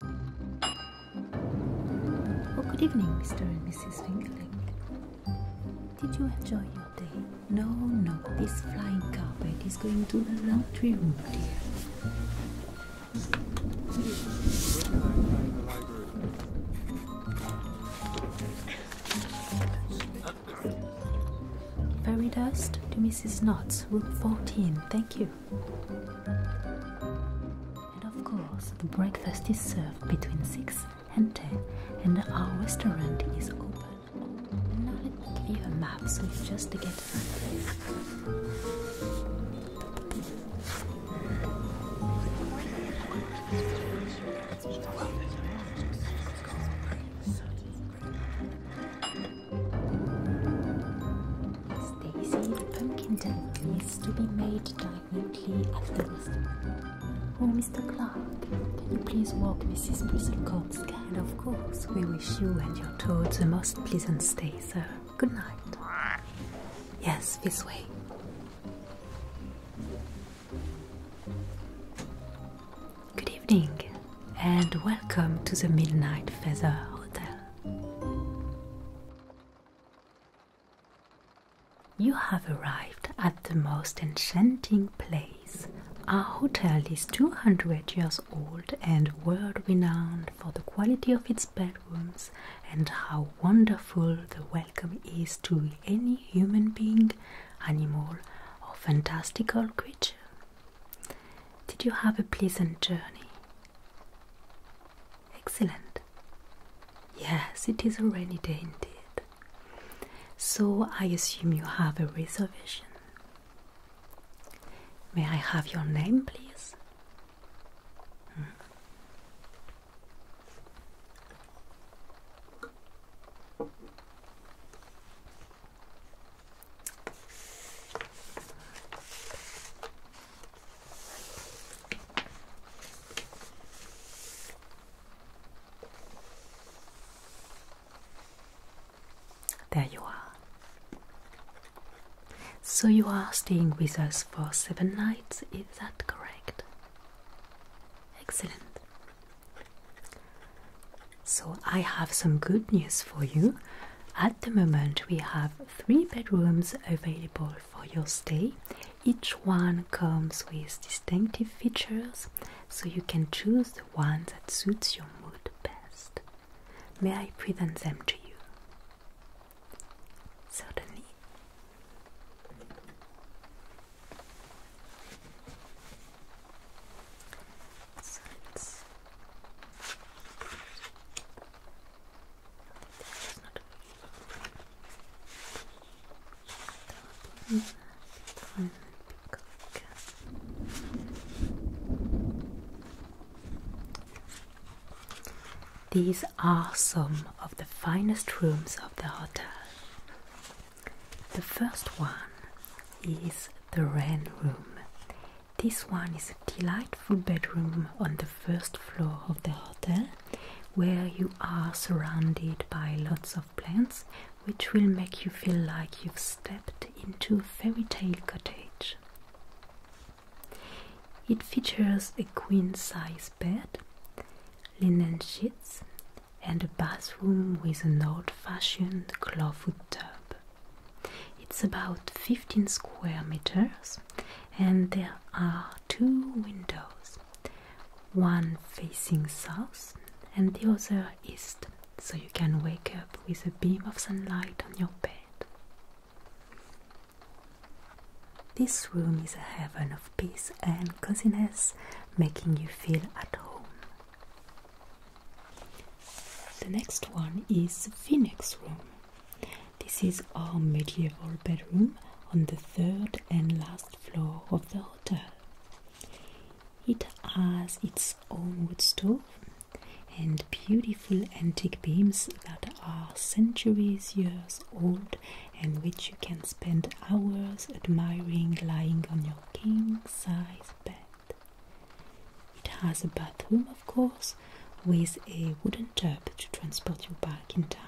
good evening, Mr. and Mrs. Fingerling. Did you enjoy your day? No, no, this flying carpet is going to the laundry room, dear. Fairy dust to Mrs. Knotts, room 14. Thank you. And of course, the breakfast is served between 6 and 10, and our restaurant is open. let me give you a map so it's just get Daisy, the pumpkin tent needs to be made diagonally at the western. Oh, Mr. Clark, can you please walk Mrs. Bristlecombe's And of course, we wish you and your toads a most pleasant stay, sir. Good night. Yes, this way. Good evening, and welcome to the Midnight Feather Hotel. You have arrived at the most enchanting place. Our hotel is 200 years old and world renowned for the quality of its bedrooms and how wonderful the welcome is to any human being, animal, or fantastical creature. Did you have a pleasant journey? Excellent. Yes, it is already rainy day indeed. So I assume you have a reservation. May I have your name, please? There you are. So you are staying with us for seven nights, is that correct? Excellent. So I have some good news for you. At the moment, we have three bedrooms available for your stay. Each one comes with distinctive features, so you can choose the one that suits your mood best. May I present them to you? Certainly. These are some of the finest rooms of the hotel. The first one is the rain Room. This one is a delightful bedroom on the first floor of the hotel where you are surrounded by lots of plants which will make you feel like you've stepped into a fairy tale cottage. It features a queen size bed, linen sheets, and a bathroom with an old fashioned clawfoot tub. It's about 15 square meters and there are two windows one facing south and the other east so you can wake up with a beam of sunlight on your bed this room is a heaven of peace and coziness, making you feel at home. The next one is Phoenix Room. This is our medieval bedroom on the third and last floor of the hotel. It has its own wood stove and beautiful antique beams that are centuries years old and which you can spend hours admiring lying on your king size bed. It has a bathroom, of course, with a wooden tub to transport you back in time.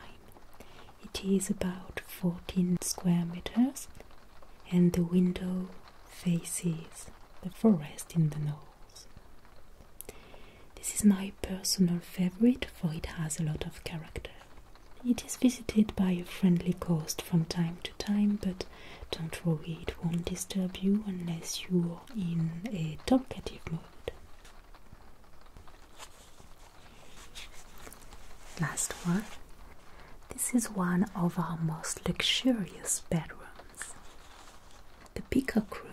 It is about 14 square meters and the window faces the forest in the north. This is my personal favorite for it has a lot of character. It is visited by a friendly ghost from time to time, but don't worry, it won't disturb you unless you are in a talkative mood. Last one. This is one of our most luxurious bedrooms, the Peacock Room.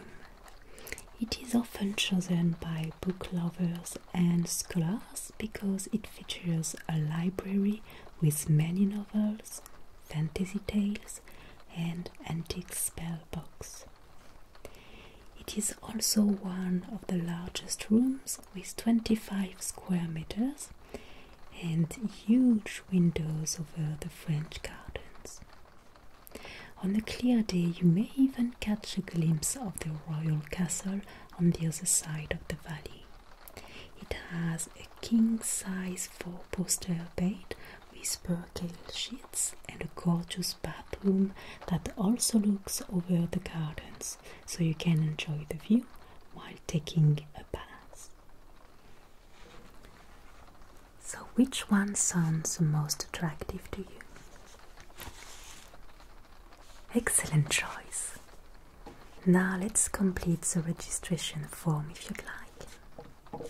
It is often chosen by book lovers and scholars because it features a library with many novels, fantasy tales, and antique spell books. It is also one of the largest rooms with 25 square meters and huge windows over the French gardens. On a clear day, you may even catch a glimpse of the royal castle on the other side of the valley. It has a king size four poster bed with percale sheets and a gorgeous bathroom that also looks over the gardens so you can enjoy the view while taking a bath. So, which one sounds the most attractive to you? Excellent choice! Now let's complete the registration form if you'd like.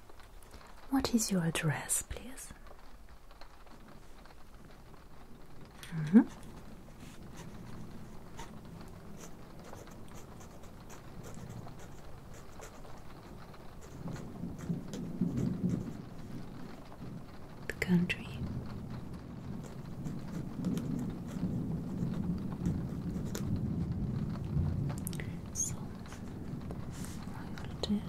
What is your address, please? Mm-hmm. The country fold and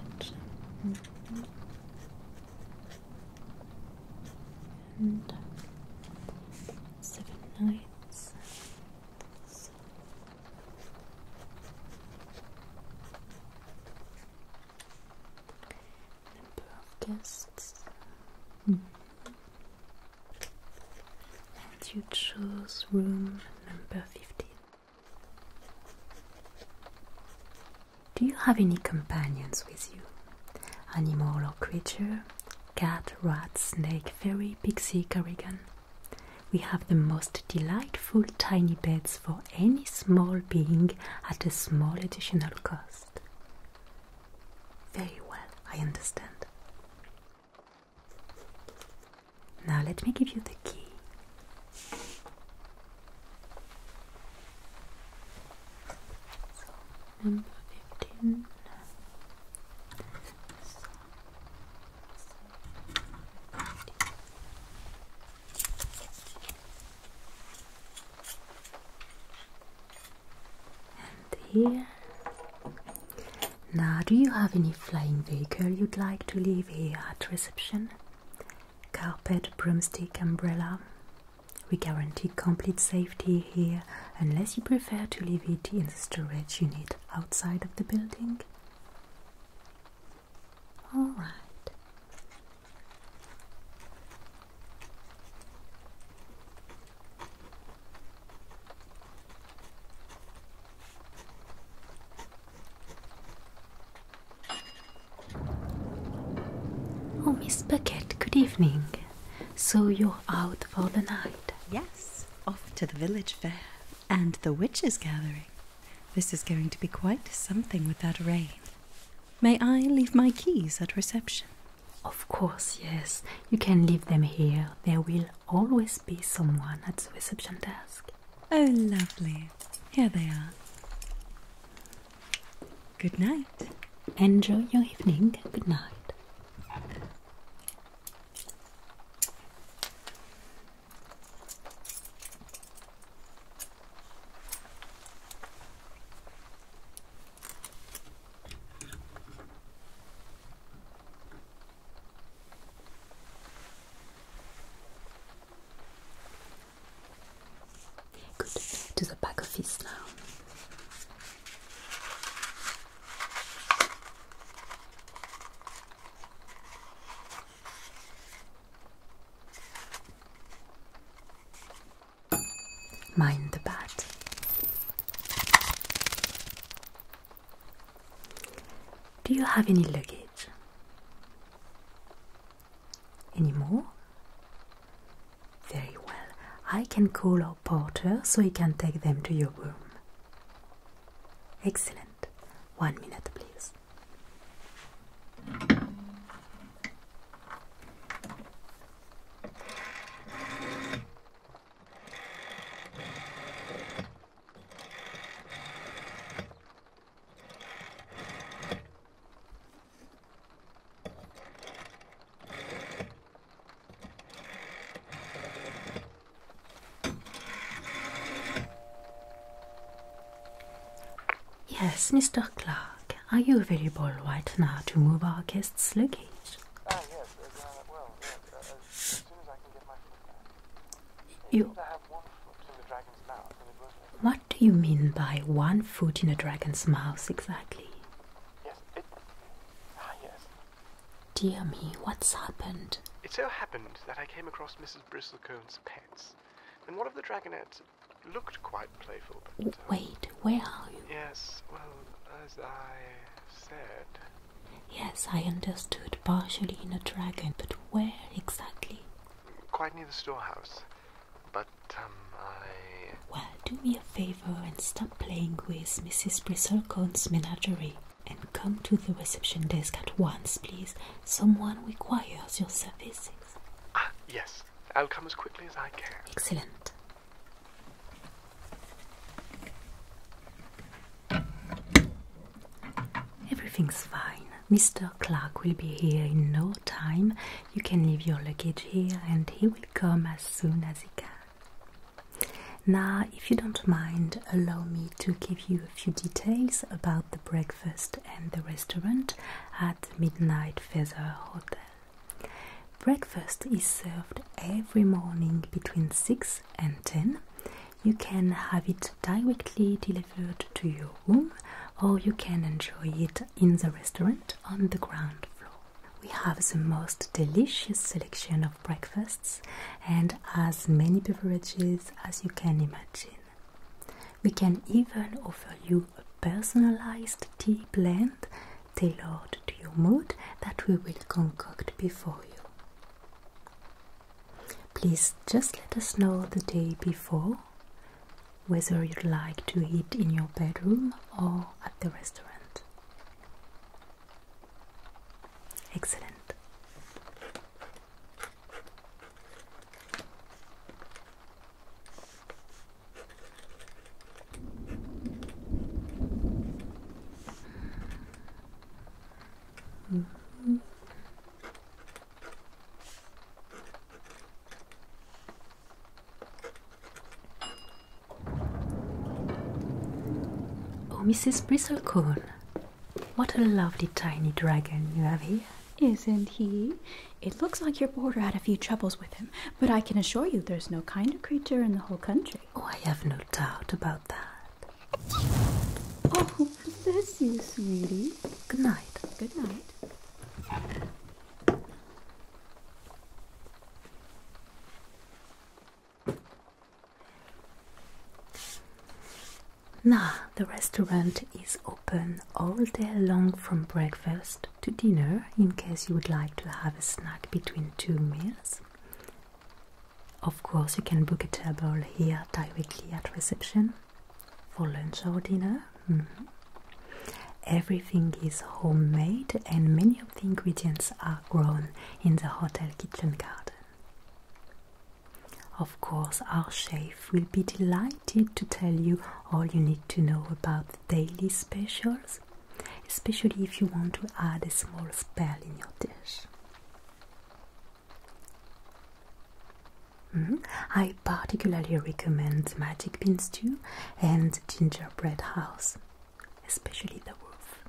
seven nights number of guests and you chose room number 15 do you have any companions with you? Animal or creature? Cat, rat, snake, fairy, pixie, corrigan. We have the most delightful tiny beds for any small being at a small additional cost. Very well, I understand. Now let me give you the key. number 15. And here. Now, do you have any flying vehicle you'd like to leave here at reception? carpet, broomstick, umbrella. We guarantee complete safety here unless you prefer to leave it in the storage unit outside of the building. Alright. Oh, Miss Bucket, good evening. So you're out for the night? Yes, off to the village fair and the witches' gathering. This is going to be quite something with that rain. May I leave my keys at reception? Of course, yes. You can leave them here. There will always be someone at the reception desk. Oh, lovely. Here they are. Good night. Enjoy your evening. Good night. Good. To the back of his now. Mind the bat. Do you have any luggage? Any more? Very well. I can call our porter so he can take them to your room. Excellent. One minute, please. Yes, Mr. Clark, are you available right now to move our guest's luggage? Ah, uh, uh, you. What do you mean by one foot in a dragon's mouth exactly? Yes, Ah, yes. Dear me, what's happened? It so happened that I came across Mrs. Bristlecone's pets, and one of the dragonettes looked quite playful. Uh, wait, where are you? Yes, well, as I said. Yes, I understood partially in a dragon, but where exactly? quite near the storehouse. But, um, I. Well, do me a favor and stop playing with Mrs. Bristlecone's menagerie and come to the reception desk at once, please. Someone requires your services. Ah, yes. I'll come as quickly as I can. Excellent. Everything's fine. Mr. Clark will be here in no time. You can leave your luggage here and he will come as soon as he can. Now, if you don't mind, allow me to give you a few details about the breakfast and the restaurant at Midnight Feather Hotel. Breakfast is served every morning between 6 and 10 you can have it directly delivered to your room or you can enjoy it in the restaurant on the ground floor. We have the most delicious selection of breakfasts and as many beverages as you can imagine. We can even offer you a personalized tea blend tailored to your mood that we will concoct before you. Please just let us know the day before whether you'd like to eat in your bedroom or at the restaurant. Excellent. Oh, Mrs. Bristlecorn, what a lovely tiny dragon you have here. Isn't he? It looks like your boarder had a few troubles with him, but I can assure you there's no kinder creature in the whole country. Oh, I have no doubt about that. Oh, Bless you, sweetie. Good night. Good night. Now, the restaurant is open all day long from breakfast to dinner in case you would like to have a snack between two meals. Of course, you can book a table here directly at reception for lunch or dinner. Mm-hmm. Everything is homemade, and many of the ingredients are grown in the hotel kitchen garden. Of course, our chef will be delighted to tell you all you need to know about the daily specials, especially if you want to add a small spell in your dish. Mm-hmm. I particularly recommend magic bean stew and gingerbread house, especially the roof.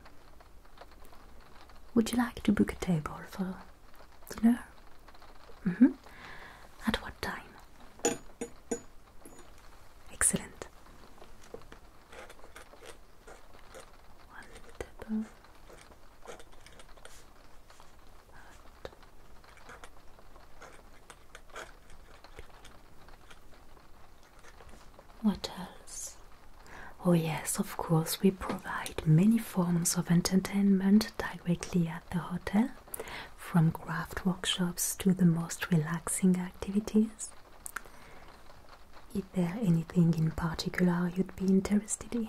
Would you like to book a table for dinner? Mm-hmm. At what time? Excellent. One table what else? Oh, yes, of course, we provide many forms of entertainment directly at the hotel, from craft workshops to the most relaxing activities. Is there anything in particular you'd be interested in?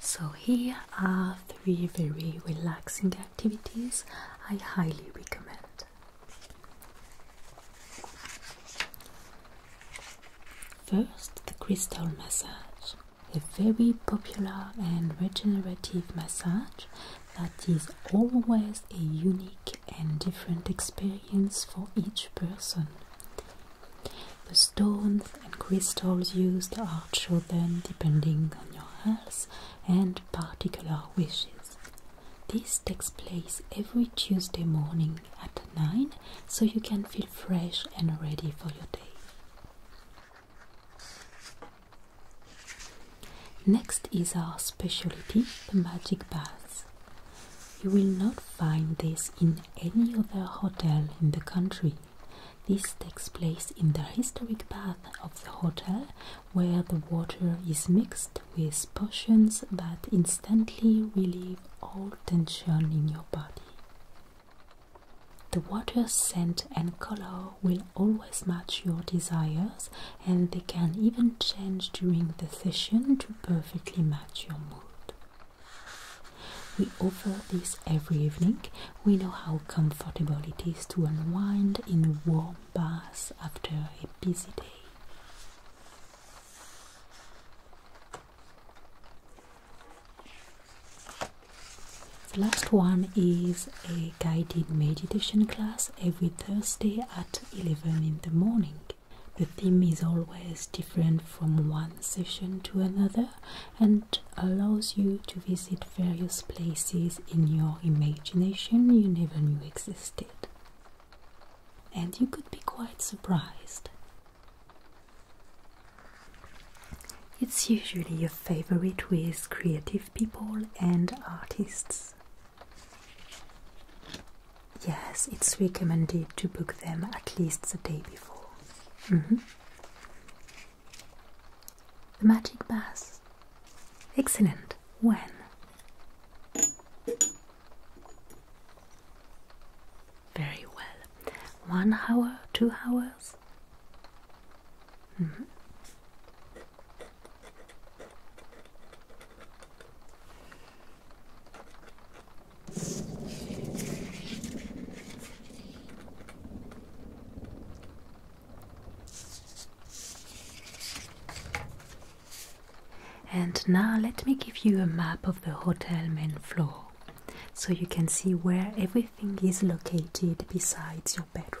So, here are three very relaxing activities I highly recommend. First, the crystal massage, a very popular and regenerative massage that is always a unique and different experience for each person. The stones and crystals used are chosen depending on your health and particular wishes. This takes place every Tuesday morning at 9 so you can feel fresh and ready for your day. Next is our specialty, the magic bath. You will not find this in any other hotel in the country. This takes place in the historic bath of the hotel, where the water is mixed with potions that instantly relieve all tension in your body. The water's scent and color will always match your desires, and they can even change during the session to perfectly match your mood. We offer this every evening. We know how comfortable it is to unwind in a warm bath after a busy day. The last one is a guided meditation class every Thursday at 11 in the morning. The theme is always different from one session to another, and allows you to visit various places in your imagination you never knew existed. And you could be quite surprised. It's usually a favorite with creative people and artists. Yes, it's recommended to book them at least the day before. Mm-hmm. The magic bass. Excellent. When? Very well. One hour, two hours? Mm-hmm. And now let me give you a map of the Hotel main floor, so you can see where everything is located besides your bedroom.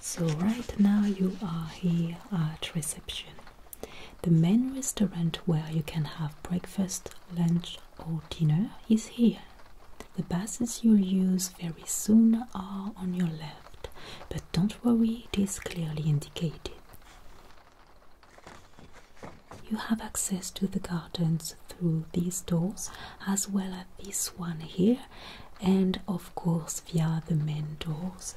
So right now you are here at reception. The main restaurant where you can have breakfast, lunch or dinner is here. The buses you'll use very soon are on your left, but don't worry, it is clearly indicated. You have access to the gardens through these doors as well as this one here and of course via the main doors.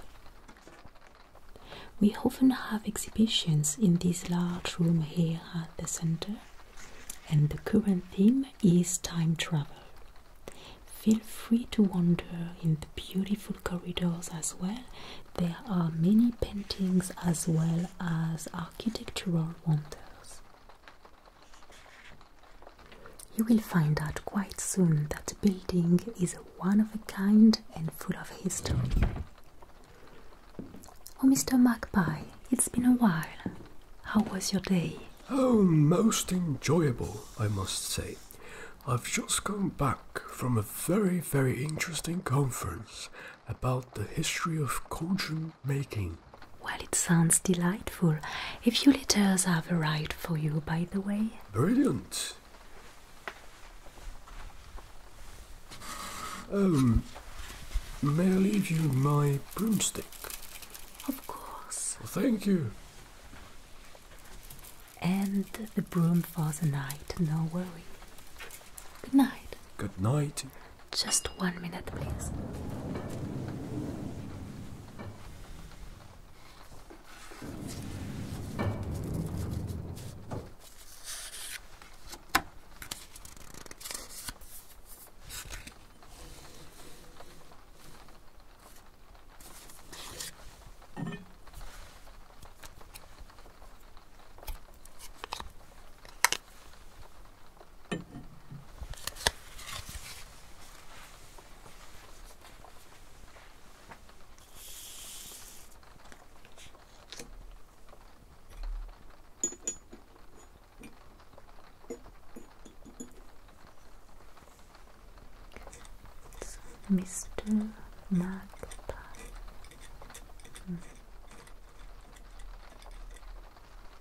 We often have exhibitions in this large room here at the center and the current theme is time travel. Feel free to wander in the beautiful corridors as well. There are many paintings as well as architectural wonders. You will find out quite soon that the building is one of a kind and full of history. Oh, Mr. Magpie, it's been a while. How was your day? Oh, most enjoyable, I must say. I've just come back from a very, very interesting conference about the history of cauldron making. Well, it sounds delightful. A few letters have arrived for you, by the way. Brilliant. Um, may I leave you my broomstick? Of course. thank you. And the broom for the night, no worry. Good night. Good night. Just one minute, please. Mr. Magpie.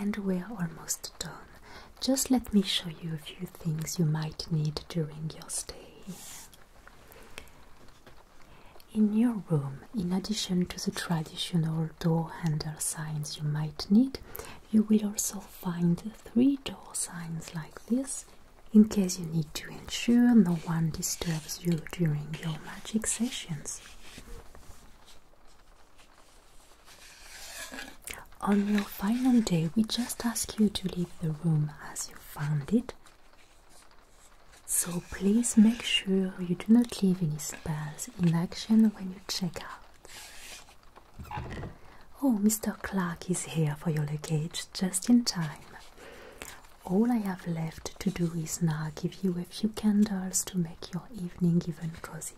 And we're almost done. Just let me show you a few things you might need during your stay. In your room, in addition to the traditional door handle signs you might need, you will also find three door signs like this in case you need to ensure no one disturbs you during your magic sessions. On your final day, we just ask you to leave the room as you found it. So please make sure you do not leave any spells in action when check out. Oh, Mr. Clark is here for your luggage just in time. All I have left to do is now give you a few candles to make your evening even cozier.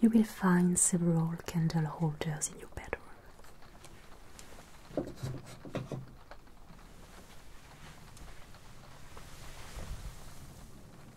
You will find several candle holders in your bedroom.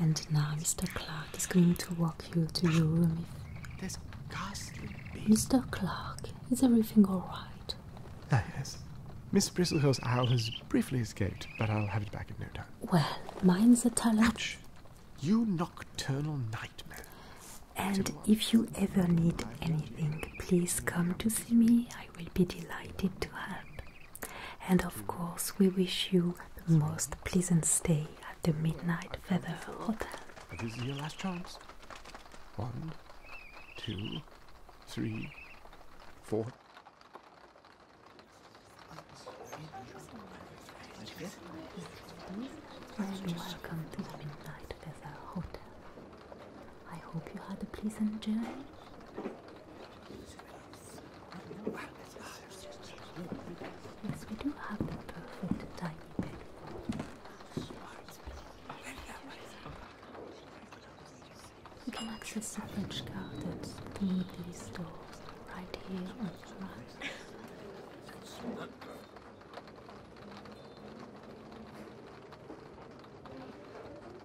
And now Mr. Clark is going to walk you to your room. This ghastly beast. Mr. Clark, is everything all right? Ah, yes. Miss Bristlehurst owl has briefly escaped, but I'll have it back in no time. Well, mine's a talent. Ouch! You nocturnal nightmare. And if you ever need anything, please come to see me. I will be delighted to help. And of course, we wish you the most pleasant stay at the Midnight Feather Hotel. This is your last chance. One, two, three, four. And welcome to the Midnight Feather Hotel. I hope you had a pleasant journey. Yes, we do have the perfect tiny bed. You can access the French gardens through these right here on the right.